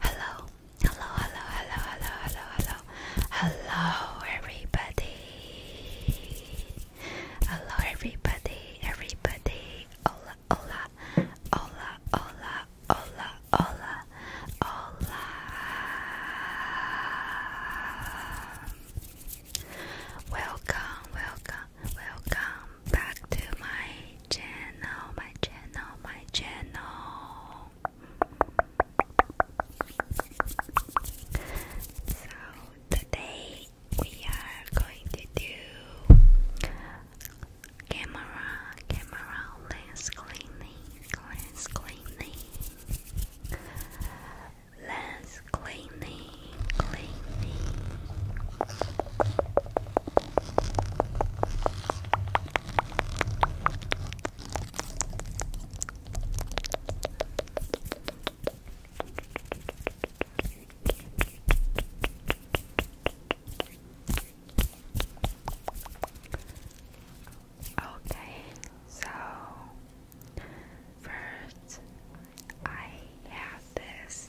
Hello, hello, hello, hello, hello, hello, hello, hello, everybody. Hello, everybody, everybody. Hola, hola, hola, hola, hola, hola, hola. Welcome, welcome, welcome back to my channel, my channel, my channel. So today we are going to do camera, camera lens cleaning, lens cleaning. Lens cleaning, cleaning, Okay, so first I have this.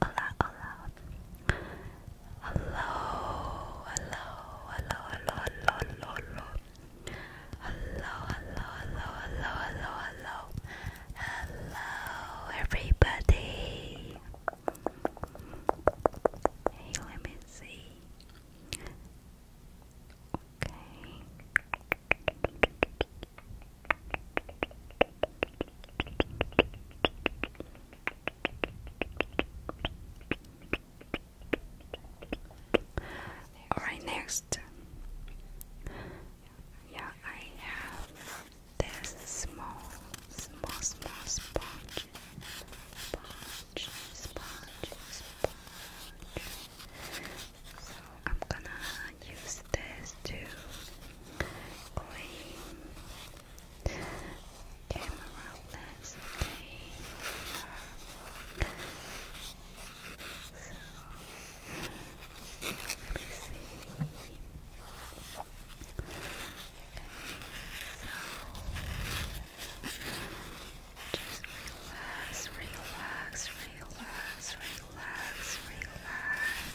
lot, a Hello, hello, hello, hello, hello, hello, hello. Hello, hello, hello, hello, hello, hello. Hello, everybody. Hey, let me see. Okay. Alright, next. Yeah, I have this small, small, small sponge. Sponge, sponge, sponge. So I'm gonna use this to clean camera lens. So, let so just relax, relax, relax, relax, relax.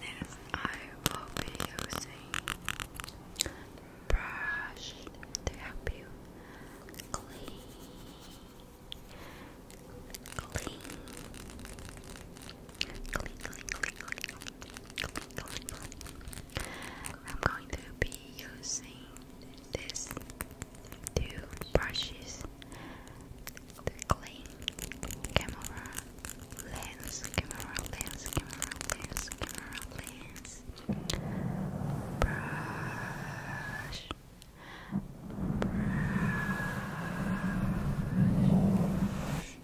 This I will be using brush to help you clean, clean, I'm going to be using these two brushes the clean camera lens, camera lens, camera lens, camera lens brush. Brush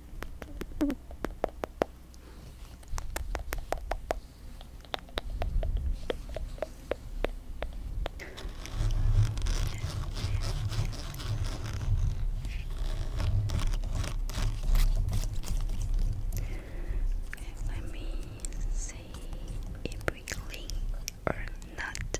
Let me see if we clean or not.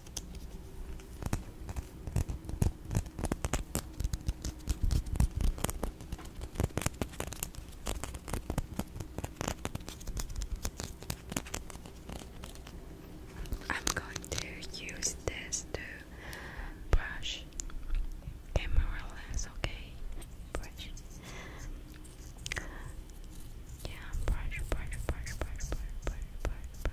I'm going to use this to brush camera lens, okay? Brush. Yeah, brush, brush, brush, brush, brush, brush, brush,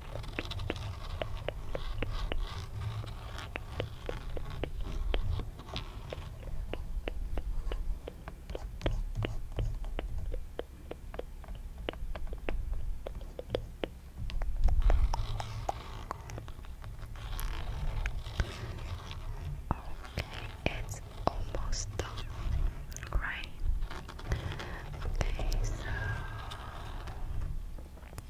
Okay, it's almost done, right? Okay, so